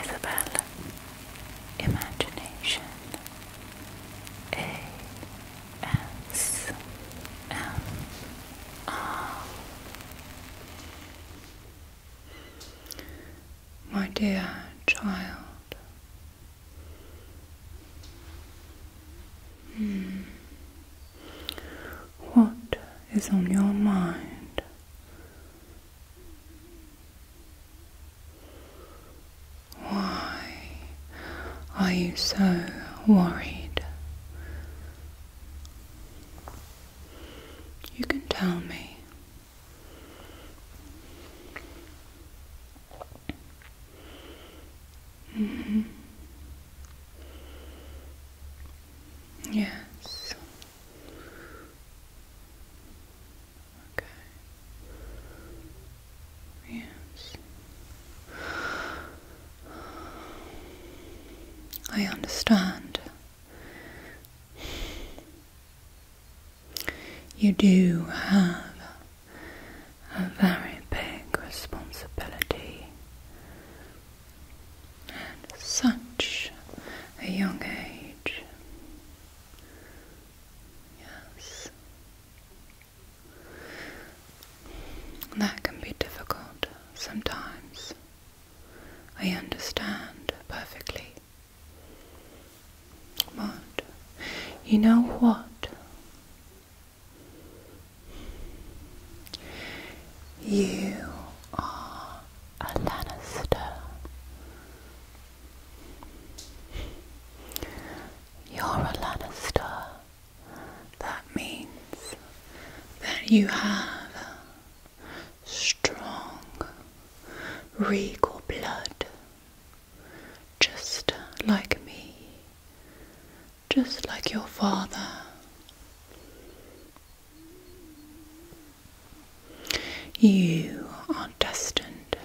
Isabel Imagination A S M R My dear child. Hmm. What is on your mind? Why are you so worried? You can tell me. Mm-hmm. Yes, Okay. Yes. I understand. You do have a very big responsibility at such a young age. Yes. That can be difficult sometimes. I understand perfectly. But you know what? You are a Lannister. You're a Lannister. That means that you have strong regal blood, just like me, just like your father. You are destined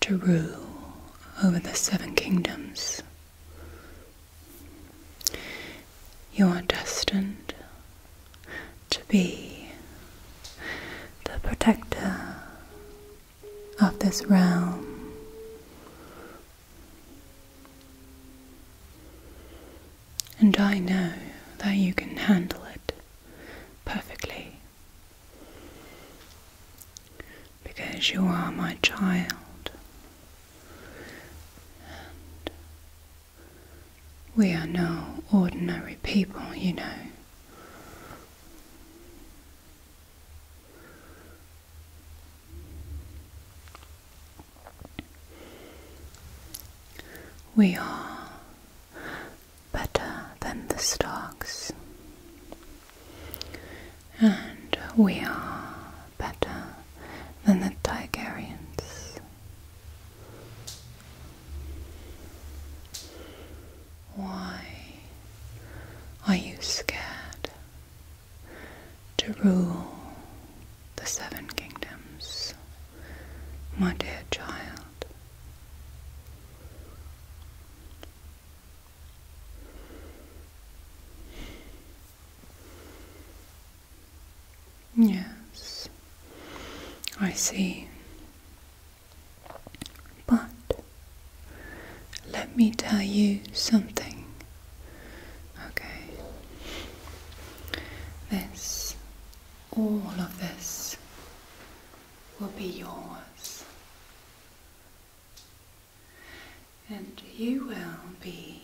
to rule over the seven kingdoms. You are destined to be the protector of this realm and I know that you can handle it perfectly because you are my child. And we are no ordinary people, you know. We are better than the Starks, and we are better than the Tigerians. Why are you scared? to rule the seven kingdoms, my dear child. Yes, I see. But let me tell you something Okay. This, all of this, will be yours. And you will be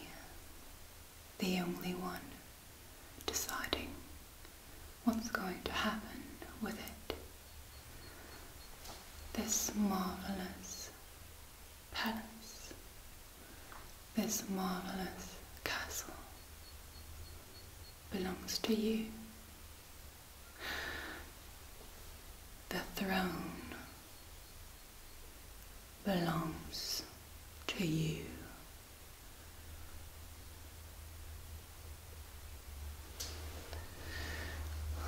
the only one deciding what's going to happen with it. This marvelous palace, this marvellous castle, belongs to you. The throne belongs to you.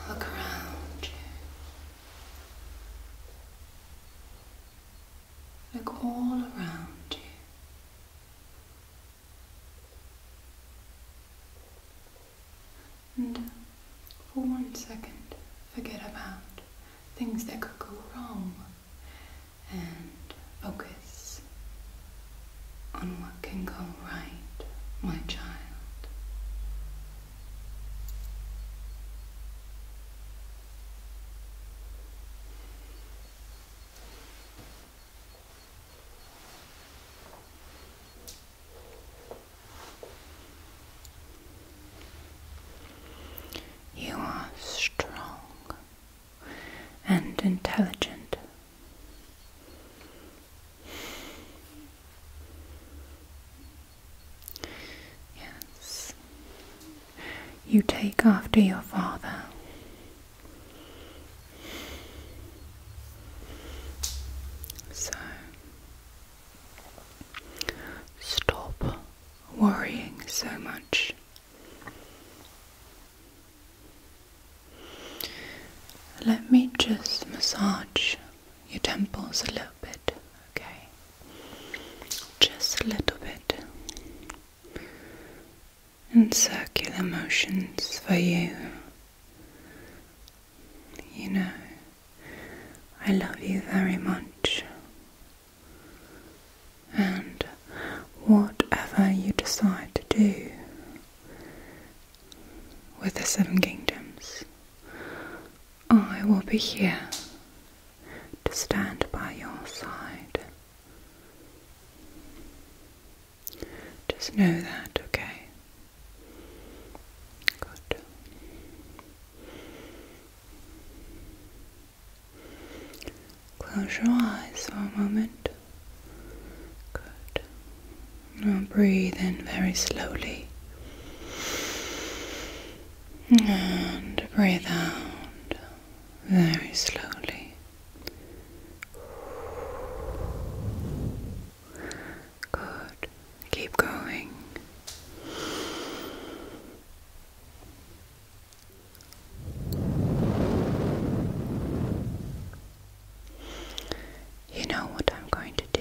Look around you. Look all around you. And for one second, forget about things that could go wrong and focus on what can go right, my child. You are strong and intelligent. Yes. You take after your father. So stop worrying so much. Let me just massage your temples a little bit, okay? just a little bit, and circular motions for you. You know, I love you very much, and whatever you decide to do with the Seven Kingdoms, I will be here to stand by your side. Just know that, okay? Good. Close your eyes for a moment. Good. Now breathe in very slowly. And breathe out very slowly. Good. Keep going. You know what I'm going to do?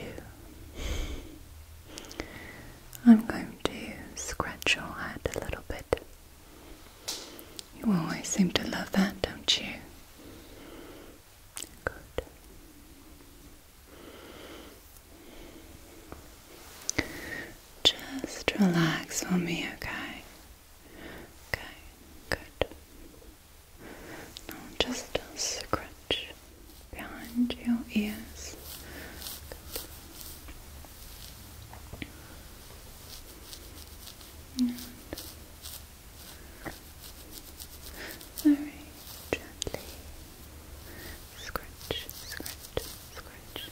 I'm going to scratch your head a little bit. You always seem to love that, don't you? Good. Just relax for me, okay? Okay, good. Now just scratch behind your ears. And very gently scratch, scratch, scratch, scratch,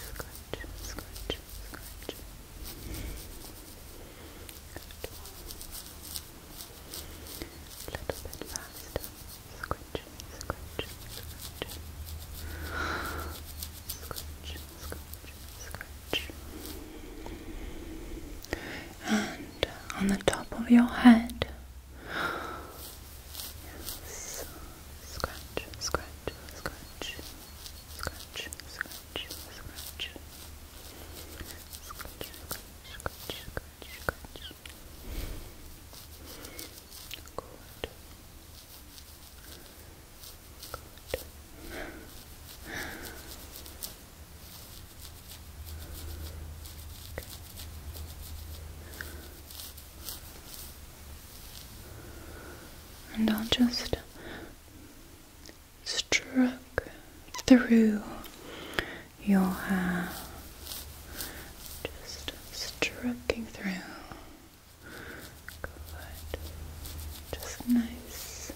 scratch, scratch. Good little bit faster. Scratch, scratch, scratch. Scratch, scratch, scratch. And on the top of your head. Yes. scratch. Scratch, scratch, scratch. Scratch, scratch, scratch, scratch, scratch. And I'll just stroke through your hair, just stroking through. Good. Just nice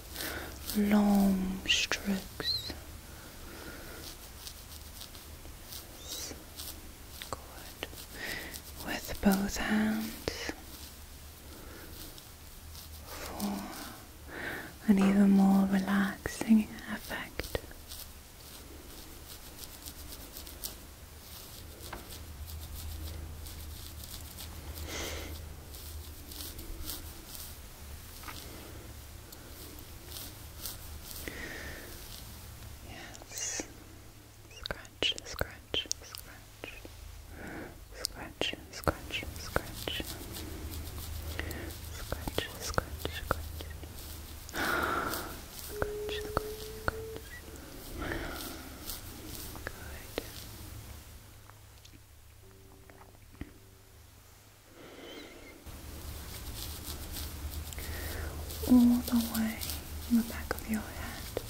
long strokes. Good. With both hands. Four an even more relaxing effect. Yes. Scratch, scratch, scratch. Scratch, scratch, scratch. Scratch, scratch, scratch. Scratch, Good. All the way in the back of your head. Good.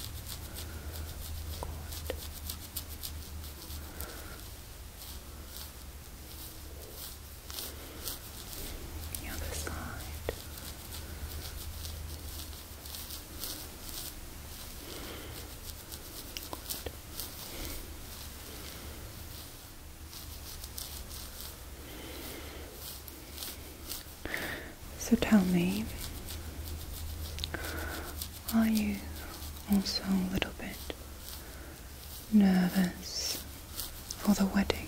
The other side. So tell me, are you also a little bit nervous for the wedding.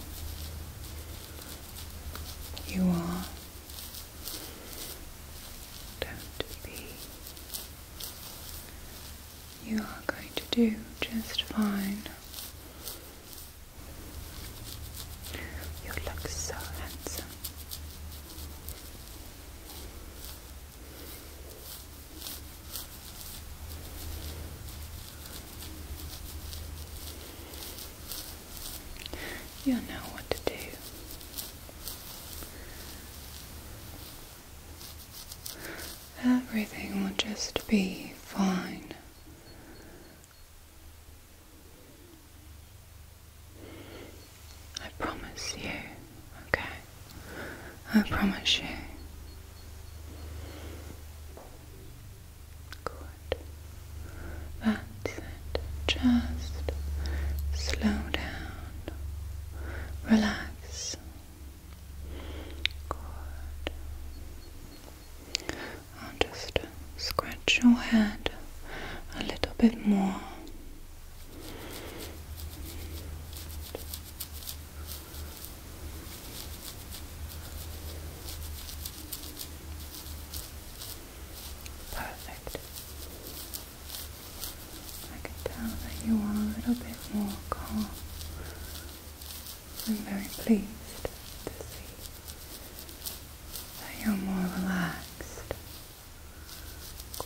You are. Don't be. You are going to do just fine. You look so handsome. You'll know what to do. Everything will just be fine. I promise you. Okay. I promise you. Good. That's it. Just slow down. Relax. Good. I'll just scratch your head a little bit more. Perfect. I can tell that you are a little bit more calm. I'm very pleased to see that you're more relaxed. Good.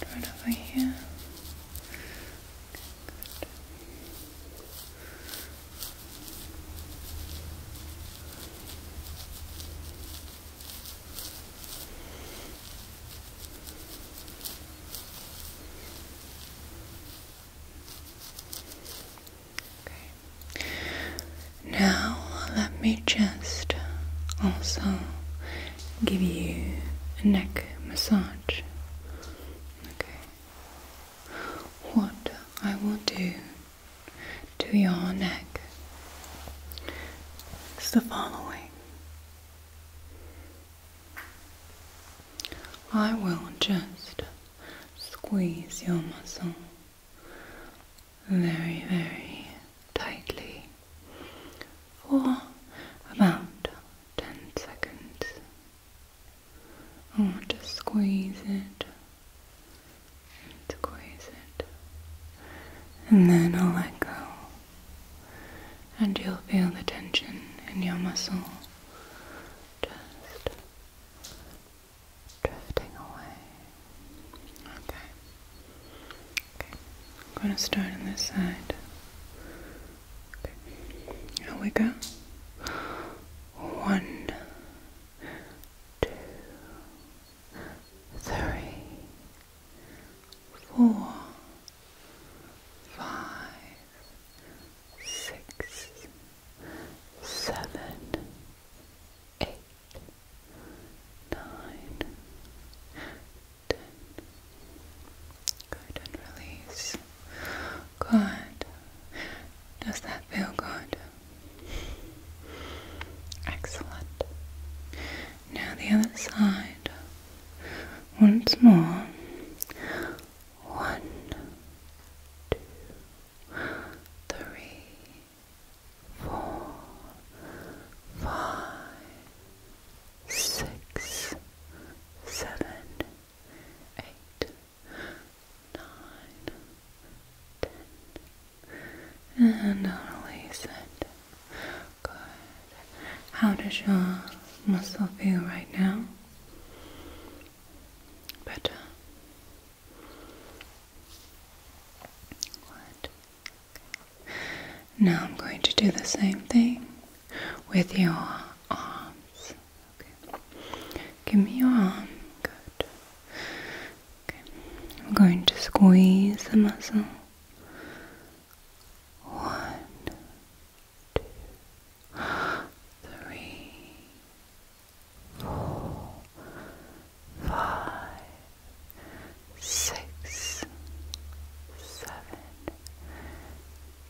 Right over here. Okay, now, let me just also give you a neck massage. Okay. What I will do to your neck is the following I will just squeeze your muscle very, very tightly for about 10 seconds. I want to squeeze it, squeeze it, and then I'll let go. And you'll feel the tension in your muscle just drifting away. Okay. Okay. I'm gonna start on this side. Okay. Here we go. One, two, three, four, five, six, seven, eight nine, ten. Good, and release. Good. Does that feel good? Excellent. Now the other side. Once more. One, two, three, four, five, six, seven, eight, nine, ten, and release it. Good. How does your muscle feel right now? Better. Good. Now I'm going to do the same thing with your arms. Give me your arm. Good. Okay. I'm going to squeeze the muscle. One, two, three, four, five, six, seven,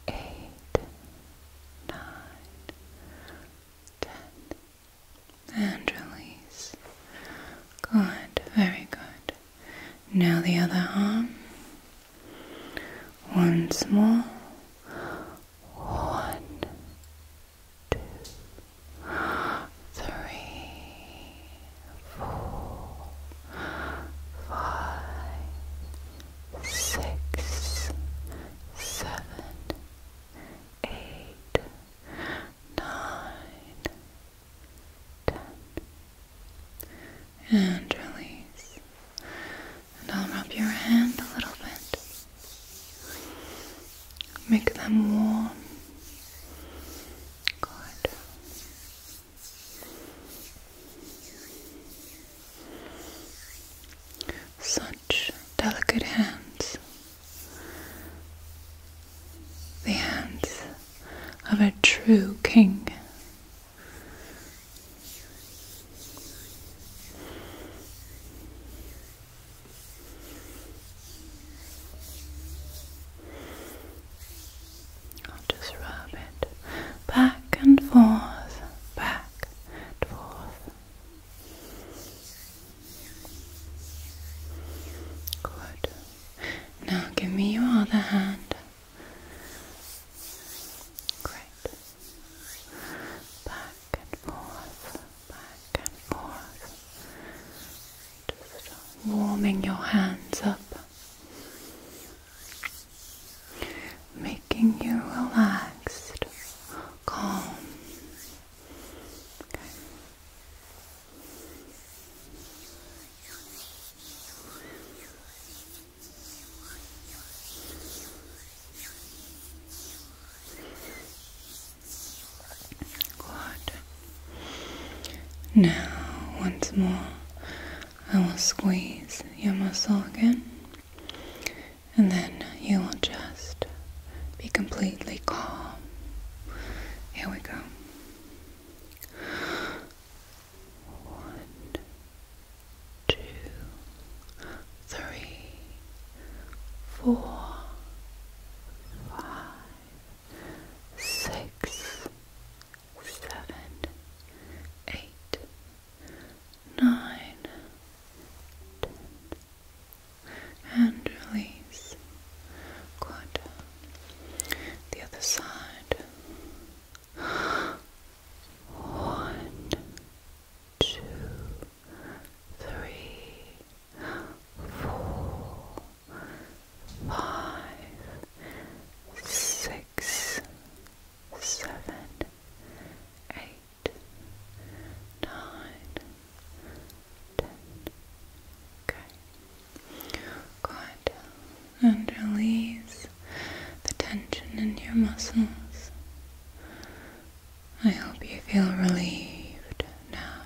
eight, nine, ten, and release. Good, very good. Now the other arm. Once more. One, two, three, four, five, six, seven, eight, nine, ten. And release. And I'll rub your hand a little bit. Make them warm. Good. Such delicate hands. The hands of a true king. I'll just rub it back and forth, back and forth. Good. Now give me your other hand. Great. Back and forth back and forth, just warming your hands up, making you relaxed, calm. Good. Now, once more, I will squeeze your muscle again, and then you will just be completely calm. Here we go. One, two, three, four, five, six, seven, eight, nine, ten, and release. Good. The other side. One, two, three, four, five, six, seven, eight, nine, ten. Okay. Good. And release the tension in your muscles. I hope you feel relieved now.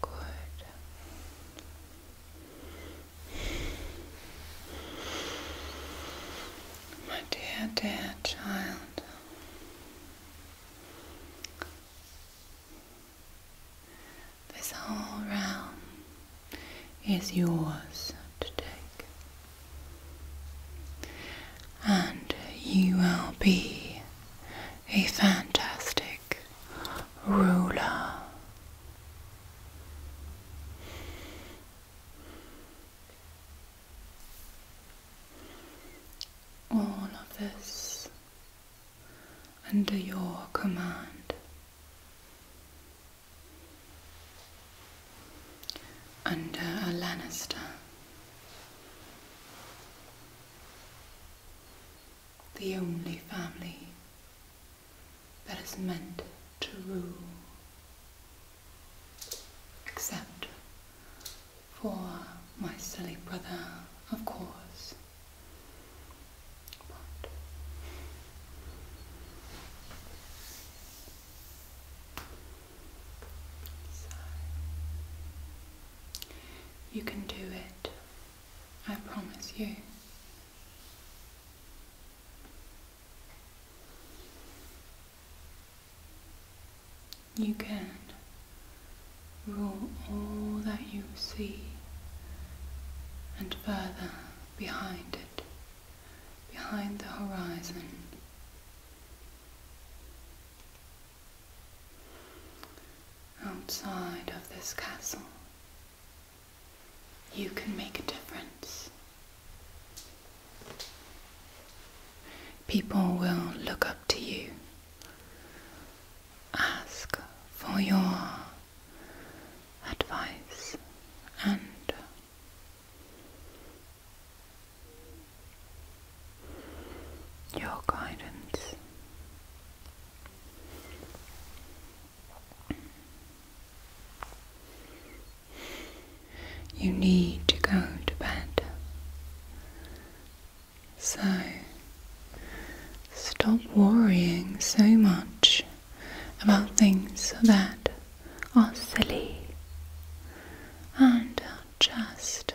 Good. My dear, dear child, this whole realm is yours to take and you will be a fantastic ruler. All of this under your command. Under a Lannister the only family that is meant to rule, except for my silly brother, of course. But you can do it, I promise you. You can rule all that you see and further behind it, behind the horizon. Outside of this castle, you can make a difference. People will look up to you, ask for your advice, and your guidance. You need to go to bed. So stop worrying so much about things that are silly and just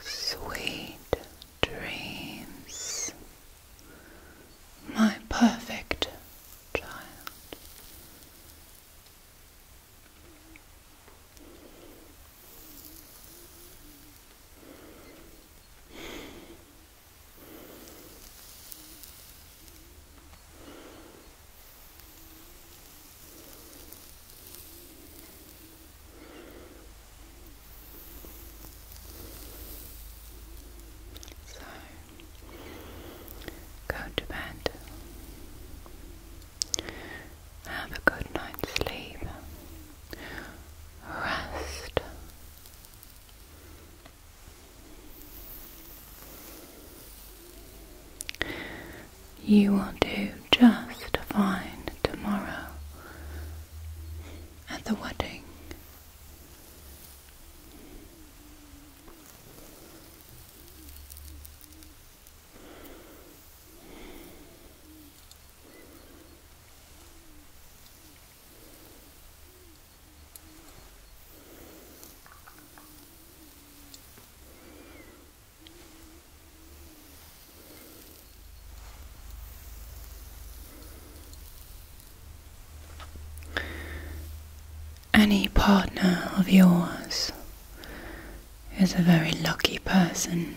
Sweet dreams, my perfect child. So go to bed. Have a good night's sleep. Rest. You will do just fine tomorrow at the wedding. Any partner of yours is a very lucky person.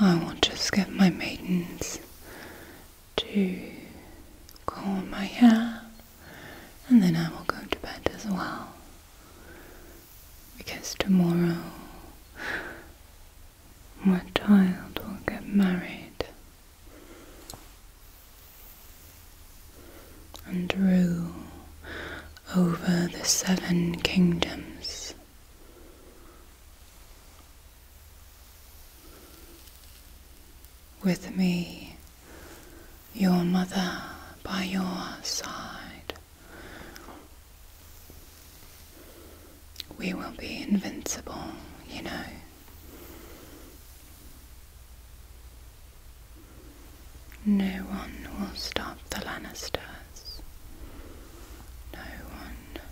I will just get my maidens to comb my hair and then I will go to bed as well because tomorrow my child will get married and rule over the seven kingdoms. With me, your mother by your side. We will be invincible, you know. No one will stop the Lannisters. No one.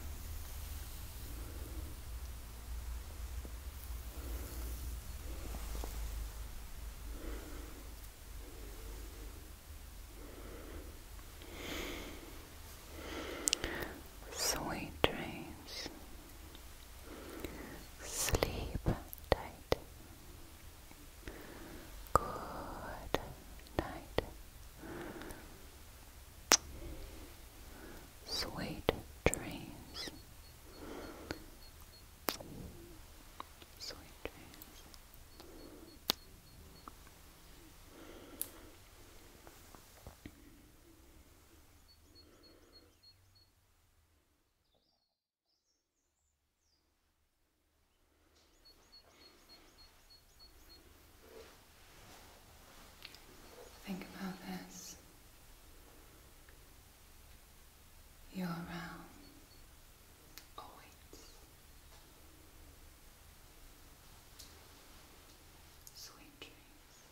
Sweet dreams. Sleep tight. Good night sweet dreams. Sweet dreams. Think about this your realm awaits. Sweet dreams.